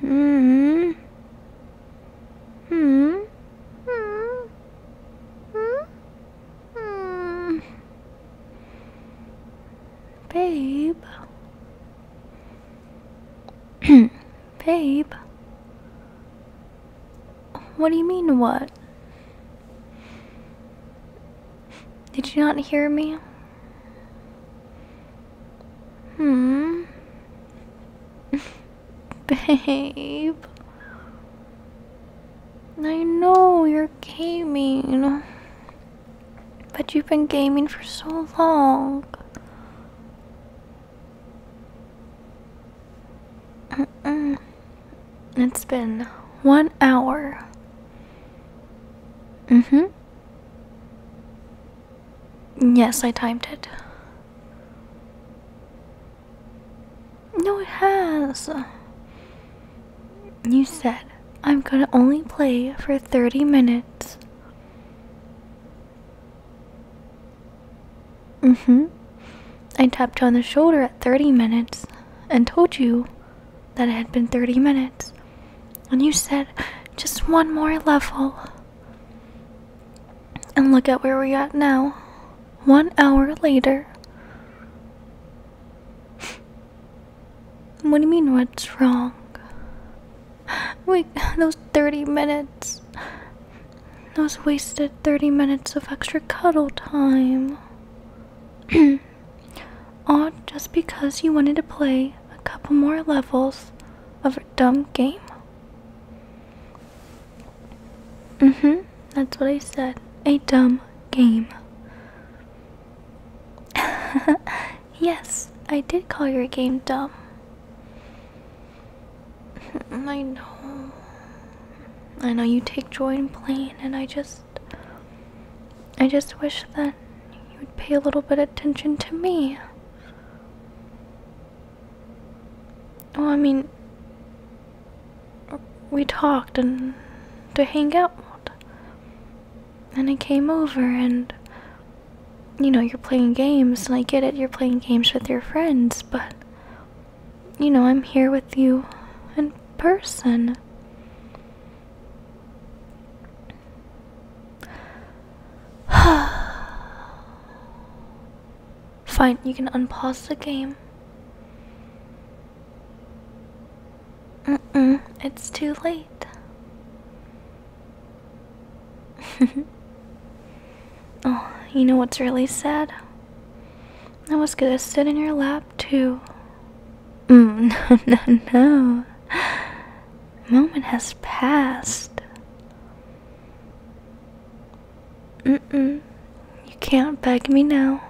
Hmm. Hmm. Hmm. Hmm. Hmm. Babe. Babe. What do you mean, what? Did you not hear me? Hmm. Babe. I know you're gaming. But you've been gaming for so long. Mm It's been one hour. Mm hmm. Yes, I timed it. No, it has. You said I'm gonna only play for 30 minutes. Mm hmm. I tapped you on the shoulder at 30 minutes and told you that it had been 30 minutes. And you said, just one more level. And look at where we're at now. One hour later. What do you mean, what's wrong? Wait, those 30 minutes. Those wasted 30 minutes of extra cuddle time. All just because you wanted to play a couple more levels of a dumb game? Mm hmm, that's what I said. A dumb game. yes, I did call your game dumb. I know. I know you take joy in playing, and I just. I just wish that you would pay a little bit of attention to me. Oh, I mean, we talked and to hang out. And I came over and, you know, you're playing games, and I get it, you're playing games with your friends, but, you know, I'm here with you in person. Fine, you can unpause the game. Mm mm, it's too late. oh, you know what's really sad? I was gonna sit in your lap too. Mm, no, no, no moment has passed. Mm mm. You can't beg me now.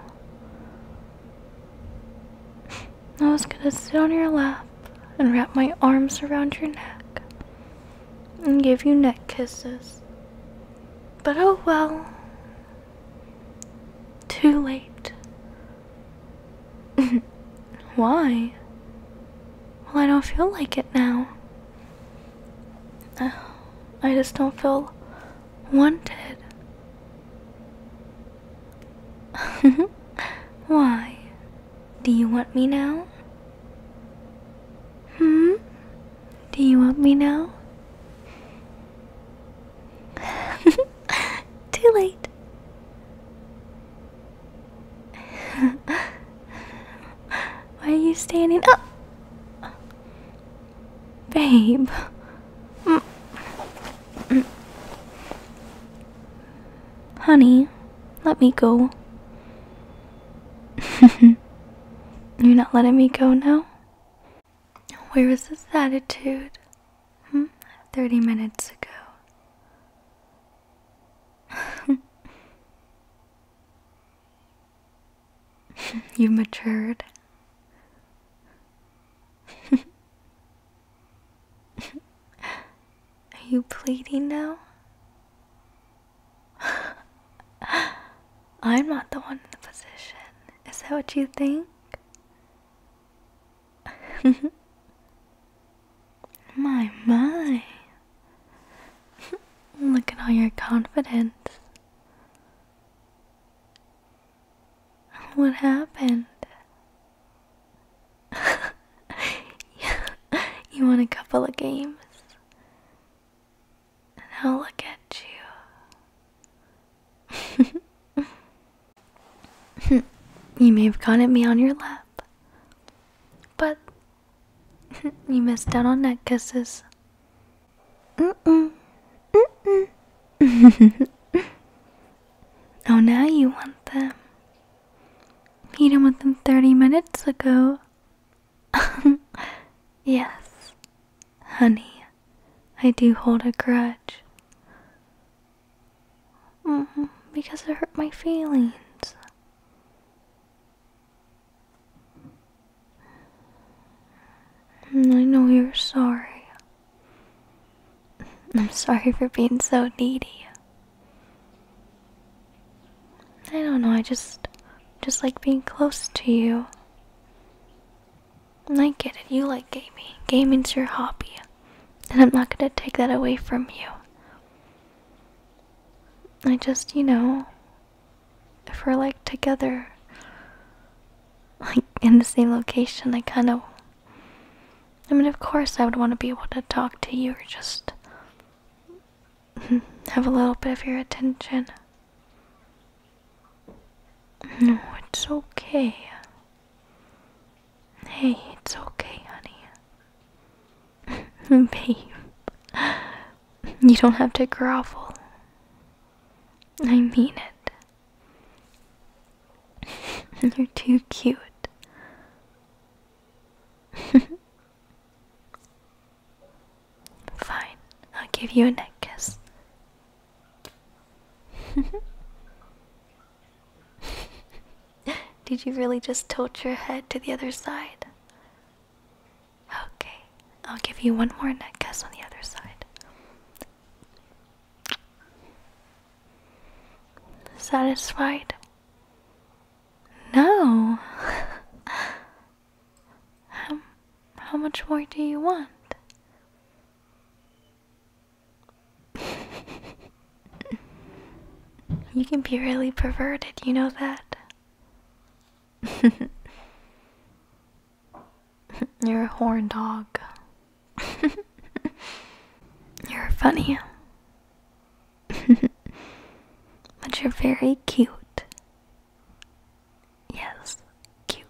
I was gonna sit on your lap and wrap my arms around your neck and give you neck kisses. But oh well. Too late. Why? Well, I don't feel like it now. Uh, I just don't feel wanted. Why? Do you want me now? Hmm? Do you want me now? Too late. Why are you standing up? Babe. Honey, let me go. You're not letting me go now? Where was this attitude? Hmm? 30 minutes ago. you matured. Are you pleading now? I'm not the one in the position. Is that what you think? my, my. Look at all your confidence. What happened? you won a couple of games. and Now look at you. you may have caught gotten me on your lap, but you missed out on neck kisses. oh, now you want them. You didn't want them 30 minutes ago. yes, honey, I do hold a grudge. Mm-hmm, because it hurt my feelings. I know you're sorry. I'm sorry for being so needy. I don't know, I just just like being close to you. And I get it, you like gaming. Gaming's your hobby. And I'm not gonna take that away from you. I just, you know, if we're like together, like in the same location, I kind of. I mean, of course, I would want to be able to talk to you or just have a little bit of your attention. No, it's okay. Hey, it's okay, honey. Babe, you don't have to grovel. I mean it. You're too cute. Fine, I'll give you a neck kiss. Did you really just tilt your head to the other side? Okay, I'll give you one more neck guess on the other side. Satisfied? No. how much more do you want? you can be really perverted, you know that? You're a horn dog. You're funny. but you're very cute. Yes, cute.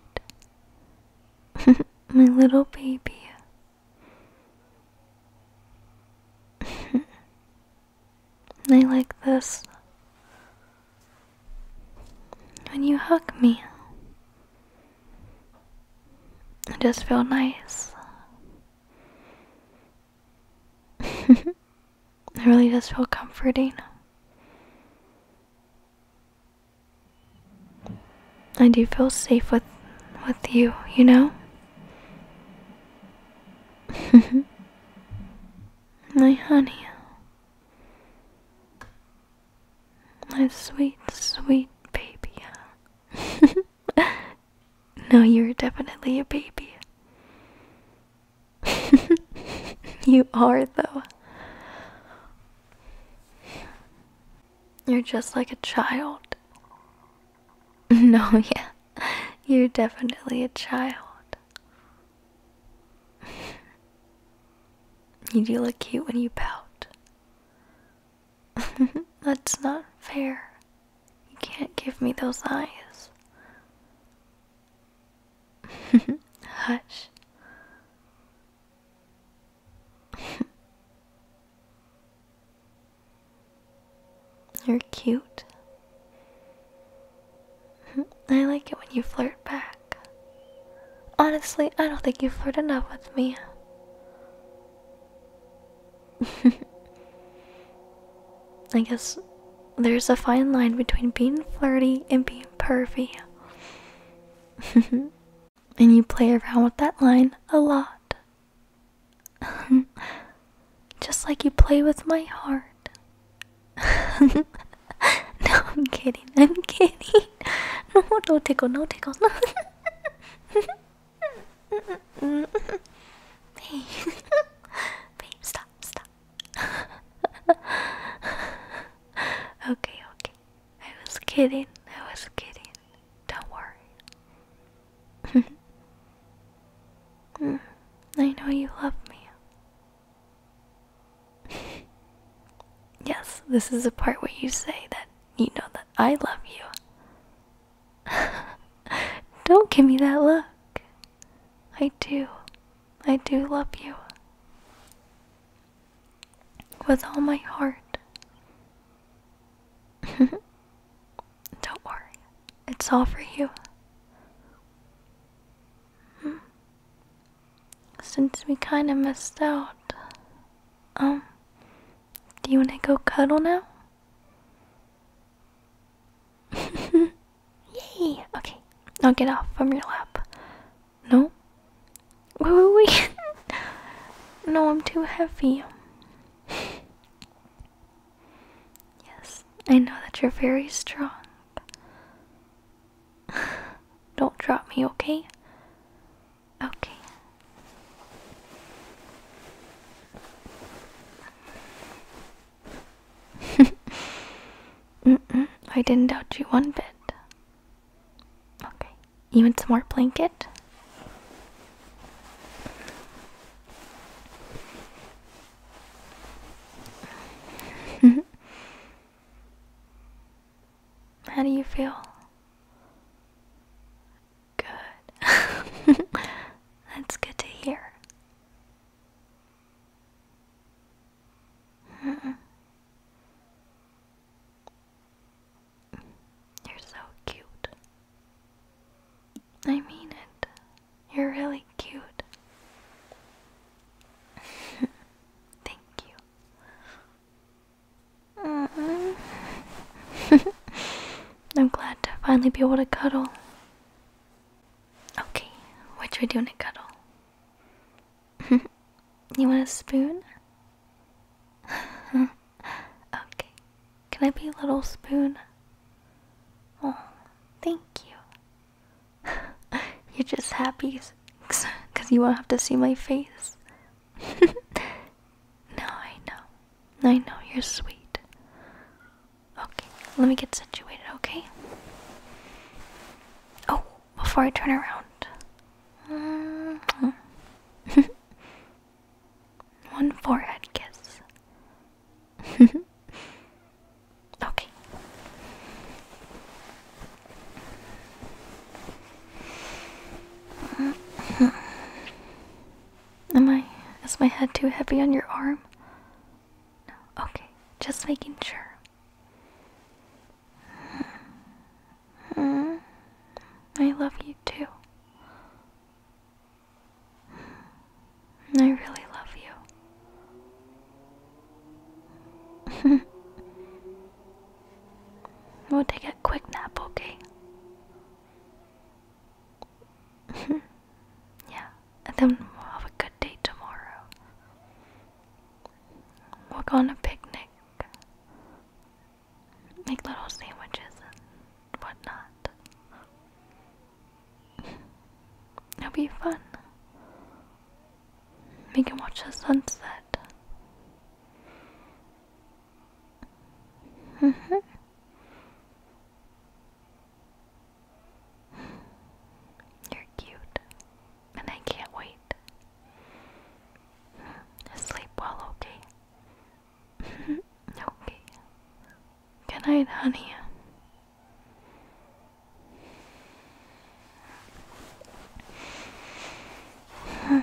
My little baby. I like this. When you hug me, I just feel nice. It really does feel comforting. I do feel safe with with you, you know? My honey. My sweet, sweet baby. no, you're definitely a baby. you are, though. You're just like a child. No, yeah. You're definitely a child. you do look cute when you pout. That's not fair. You can't give me those eyes. Hush. You're cute. I like it when you flirt back. Honestly, I don't think you flirt enough with me. I guess there's a fine line between being flirty and being pervy. And you play around with that line a lot. Just like you play with my heart. no, I'm kidding. I'm kidding. No, no tickle, no tickle. No. Babe, babe, stop, stop. okay, okay. I was kidding. I was kidding. Don't worry. I know you love me. yes, this is the part where you say that you know that I love you. Don't give me that look. I do. I do love you. With all my heart. Don't worry, it's all for you. Hmm. Since we kind of missed out, um, do you want to go cuddle now? Yay! Okay, now get off from your lap. No? Wait, wait, wait! no, I'm too heavy yes, I know that you're very strong. Don't drop me, okay? Okay. I didn't doubt you one bit. Okay. You want some more blanket? Mm-hmm. How do you feel? Good. That's good to hear. You're so cute. I mean it. You're really cute. Thank you. Mm -hmm. I'm glad to finally be able to cuddle. Okay, what should we do in a cuddle? you want a spoon? okay. Can I be a little spoon? Oh, thank you. You're just happy because you won't have to see my face. no, I know. I know, you're sweet. Okay, let me get situated, okay? Oh, before I turn around. One forehead kiss. okay. Am I is my head too heavy on your arm? Okay. Just making sure. Mm, I love you too. I really love you. we'll take a quick nap, okay? yeah, and then we'll have a good day tomorrow. we are gonna picnic make little sandwiches and whatnot. It'll be fun. We can watch the sunset. -hmm. You're cute, and I can't wait. Sleep well, okay? okay. Good night, honey.